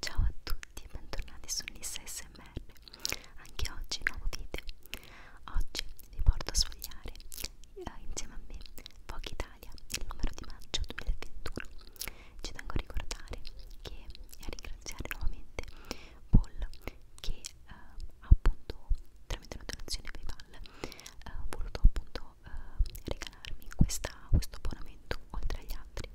Ciao a tutti e bentornati su Nissa SMR, anche oggi nuovo video. Oggi vi porto a sfogliare eh, insieme a me pochi tag Italia, il numero di maggio 2021. Ci tengo a ricordare che, e a ringraziare nuovamente Paul che eh, appunto tramite una donazione PayPal eh, ha voluto appunto eh, regalarmi questa, questo abbonamento oltre agli altri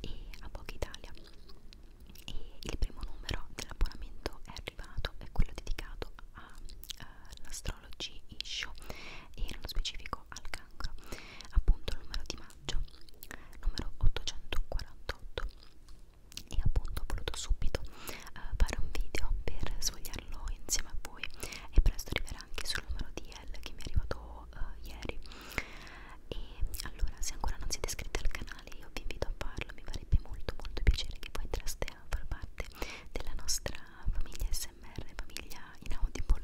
e a Poca Italia e il primo numero dell'abbonamento è arrivato è quello dedicato alla eh, sono G issue e nello specifico al cancro, appunto il numero di maggio, numero 848 e appunto ho voluto subito uh, fare un video per svogliarlo insieme a voi e presto arriverà anche sul numero di L che mi è arrivato uh, ieri e allora se ancora non siete iscritti al canale io vi invito a farlo mi farebbe molto molto piacere che voi entraste a far parte della nostra famiglia e ASMR famiglia in Audible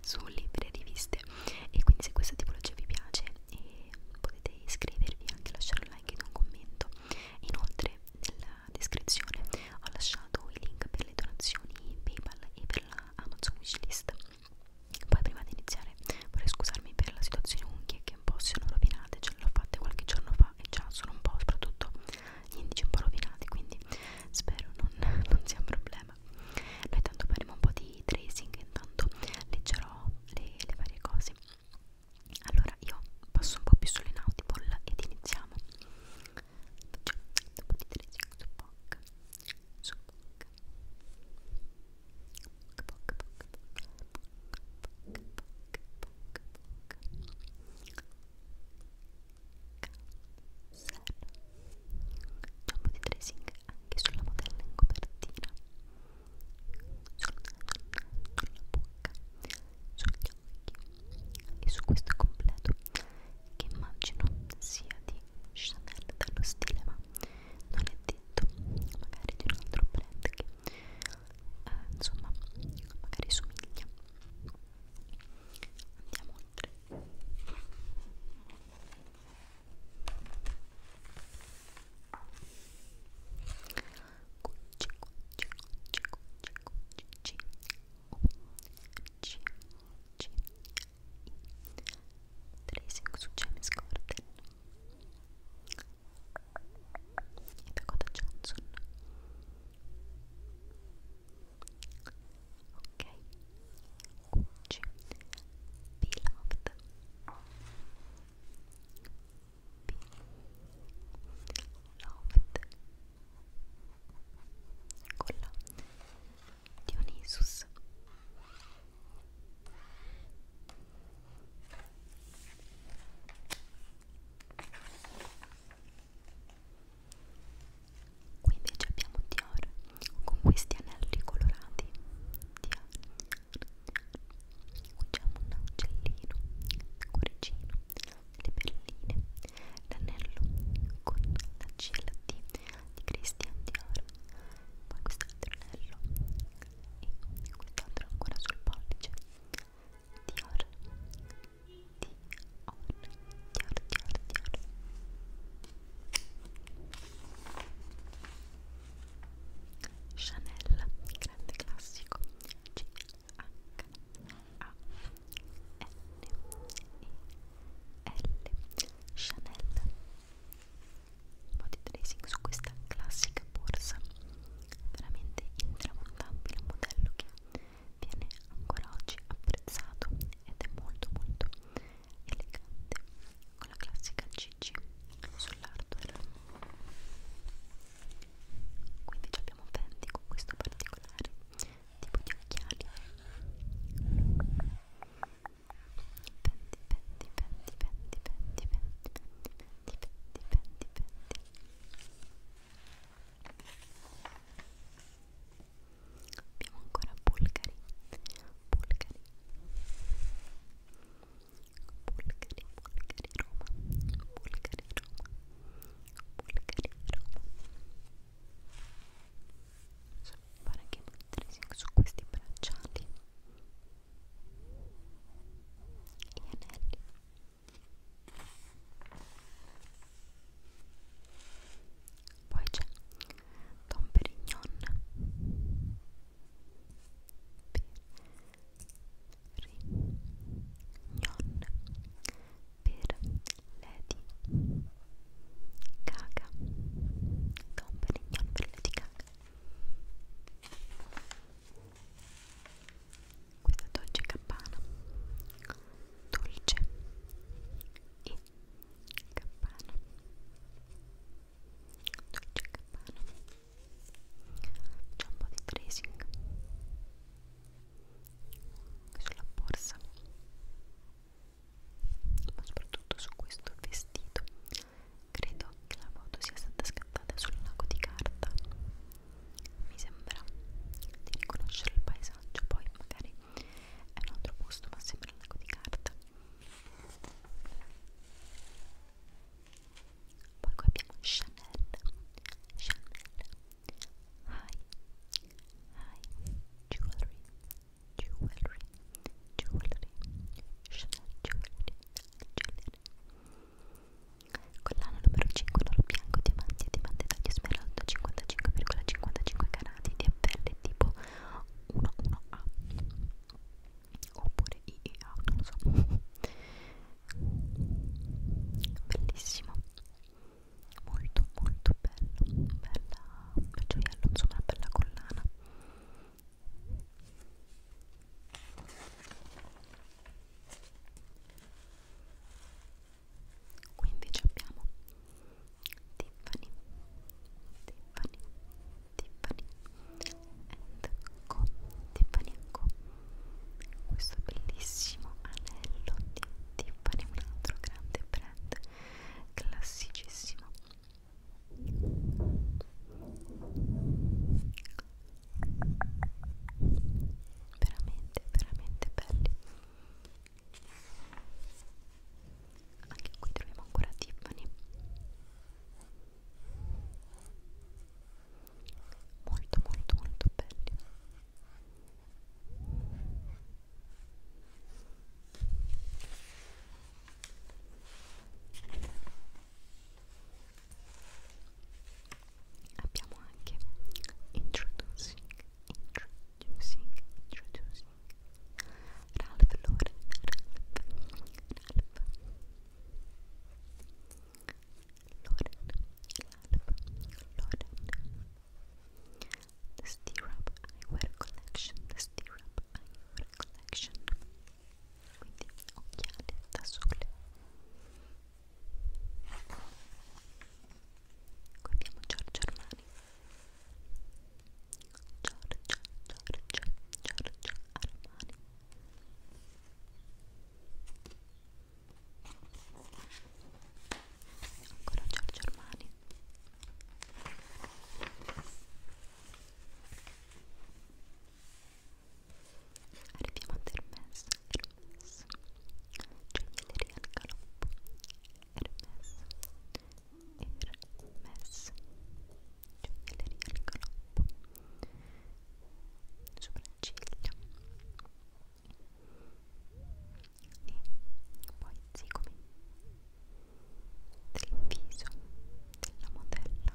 su libri e riviste e quindi se questa tipologia vi piace eh, potete iscrivervi anche lasciare un like ed un commento inoltre nella descrizione ho lasciato i link per le donazioni Paypal e per la Amazon wishlist poi prima di iniziare vorrei scusarmi per la situazione unghie che un po' si sono rovinate, ce l'ho fatte qualche giorno fa e già sono un po' soprattutto gli indici un po' rovinati quindi spero non, non sia un problema noi tanto faremo un po' di tracing intanto leggerò le, le varie cose allora io passo un po' più sull'inaudible ed iniziamo cioè, dopo di tracing su POC su POC POC POC POC POC POC POC POC POC Gioco di tracing anche sulla modella in copertina Sulla, sulla bocca, sugli occhi e su questo completo Che immagino sia di Chanel dallo stile ma non è detto Magari di un altro brand che eh, insomma magari somiglia andiamo oltre cucci cucci cucci cucci cucci cucci cucci tracing su James Corden e Dakota Johnson ok Gucci Be Loved Be Loved con la Dionysus ok Qui invece abbiamo Dior con questi anelli colorati. Dior. Qui c'è un uccellino, un cuoricino, le perline, l'anello con la C e la D di Christian Dior. Poi quest'altro anello e quest'altro ancora sul pollice. Dior, Chanel, grande classico C H A N E L Chanel un po' di tracing su questa classica borsa veramente intramontabile un modello che viene ancora oggi apprezzato ed è molto molto elegante con la classica cc sull'hardware quindi abbiamo Fendi con questo particolare tipo di occhiali Fendi, Fendi, Fendi, Fendi, Fendi, Fendi, Fendi, Fendi, Fendi, Fendi, Fendi abbiamo ancora Bulgari Bulgari Bulgari, Bulgari, Roma Bulgari, Roma Bulgari, Roma fare anche un su questi bracciali gli anelli poi c'è Don Perignon Perignon per Lady Gaga Don Perignon per Lady Gaga questa dolce campana dolce e campana dolce campana c'è un po' di tracing sulla borsa ma soprattutto su questo vestito credo che la foto sia stata scattata sul lago di carta mi sembra di riconoscere il paesaggio poi magari è un altro posto ma sembra un lago di carta poi qua abbiamo Chanel Chanel High High Jewelry Jewelry Jewelry Chanel Jewelry Jewelry collana numero 5 l'oro bianco diamanti diamante taglio smeraldo 5 55,55 carati di FL tipo 11A oppure IEA, non lo so bellissimo molto molto bello bella, bel gioiello, insomma una bella collana qui invece abbiamo Tiffany Tiffany Tiffany and Co Tiffany Co questo bellissimo anello di Tiffany un altro grande brand classicissimo veramente veramente belli anche qui troviamo ancora Tiffany molto molto molto belli abbiamo anche Introducing introducing, introducing Ralph Lauren, Ralph, Ralph Lauren, Ralph Lauren the stirrup eyewear collection, the stirrup eyewear collection quindi occhiali da sole Qui abbiamo Giorgio Armani Giorgio, Giorgio, Giorgio Armani Ancora Giorgio Armani Arriviamo a Hermes, Hermes Gioielleria Galop Hermes Hermes Gioielleria Galop Sopracciglia e poi zigomi del viso della modella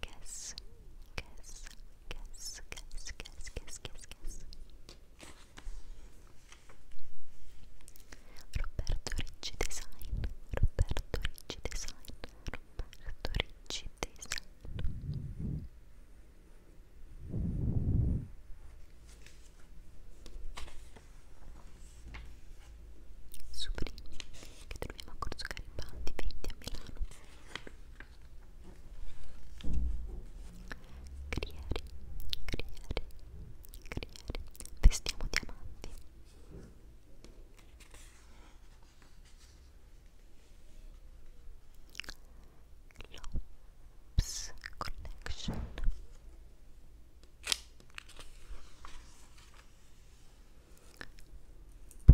Guess, guess, guess, guess, guess, guess, guess, guess. Roberto Ricci Design, Roberto Ricci Design, Roberto Ricci Design. Sublime, che troviamo a Corso Garibaldi 20 a Milano Grieri, Grieri, Grieri Vestiamo diamanti Lops Collection Grieri, pomellato,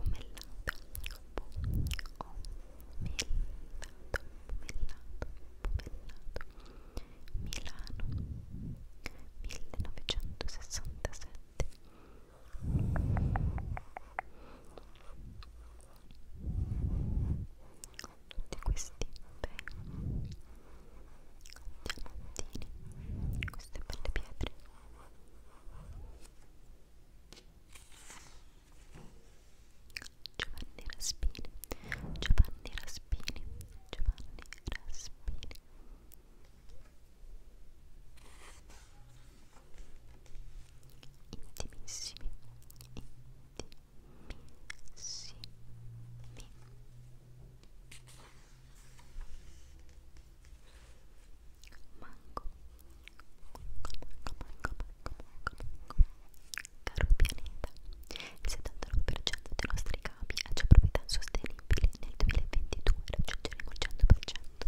pomellato, pomellato, Milano, 1967 tutti questi bei diamantini, queste belle pietre Giovanni Raspini, Giovanni Raspini, Giovanni Raspini. Intimissimi, intimissimi mango, mango, mango, mango, mango, caro pianeta, il 79% dei nostri capi ha già proprietà sostenibili, nel 2022 raggiungeremo il 100%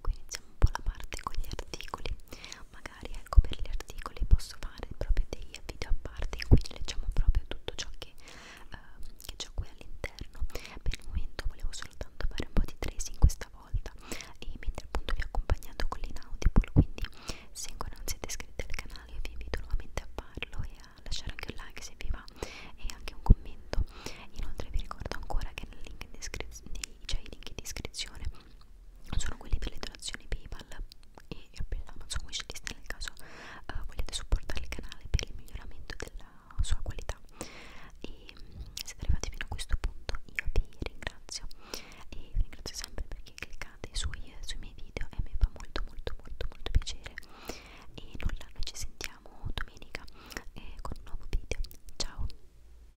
qui iniziamo un po' la parte con gli articoli magari ecco per gli articoli posso fare proprio dei video a parte in cui leggiamo proprio tutto ciò che, eh, che c'è qui all'interno per il momento volevo soltanto fare un po' di tracing questa volta e mentre appunto vi ho accompagnato con l'inaudible quindi se ancora non siete iscritti al canale vi invito nuovamente a farlo e a lasciare anche un like se vi va e anche un commento inoltre vi ricordo ancora che nel link in, descri nei c'è cioè, i link in descrizione sono quelli per le donazioni paypal e amazon wishlist nel caso uh, vogliate supportare il canale per il miglioramento della sua qualità e mm, siete arrivati fino a questo punto io vi ringrazio e vi ringrazio sempre perché cliccate sui, sui miei video e mi fa molto molto molto molto piacere e nulla, noi ci sentiamo domenica eh, con un nuovo video ciao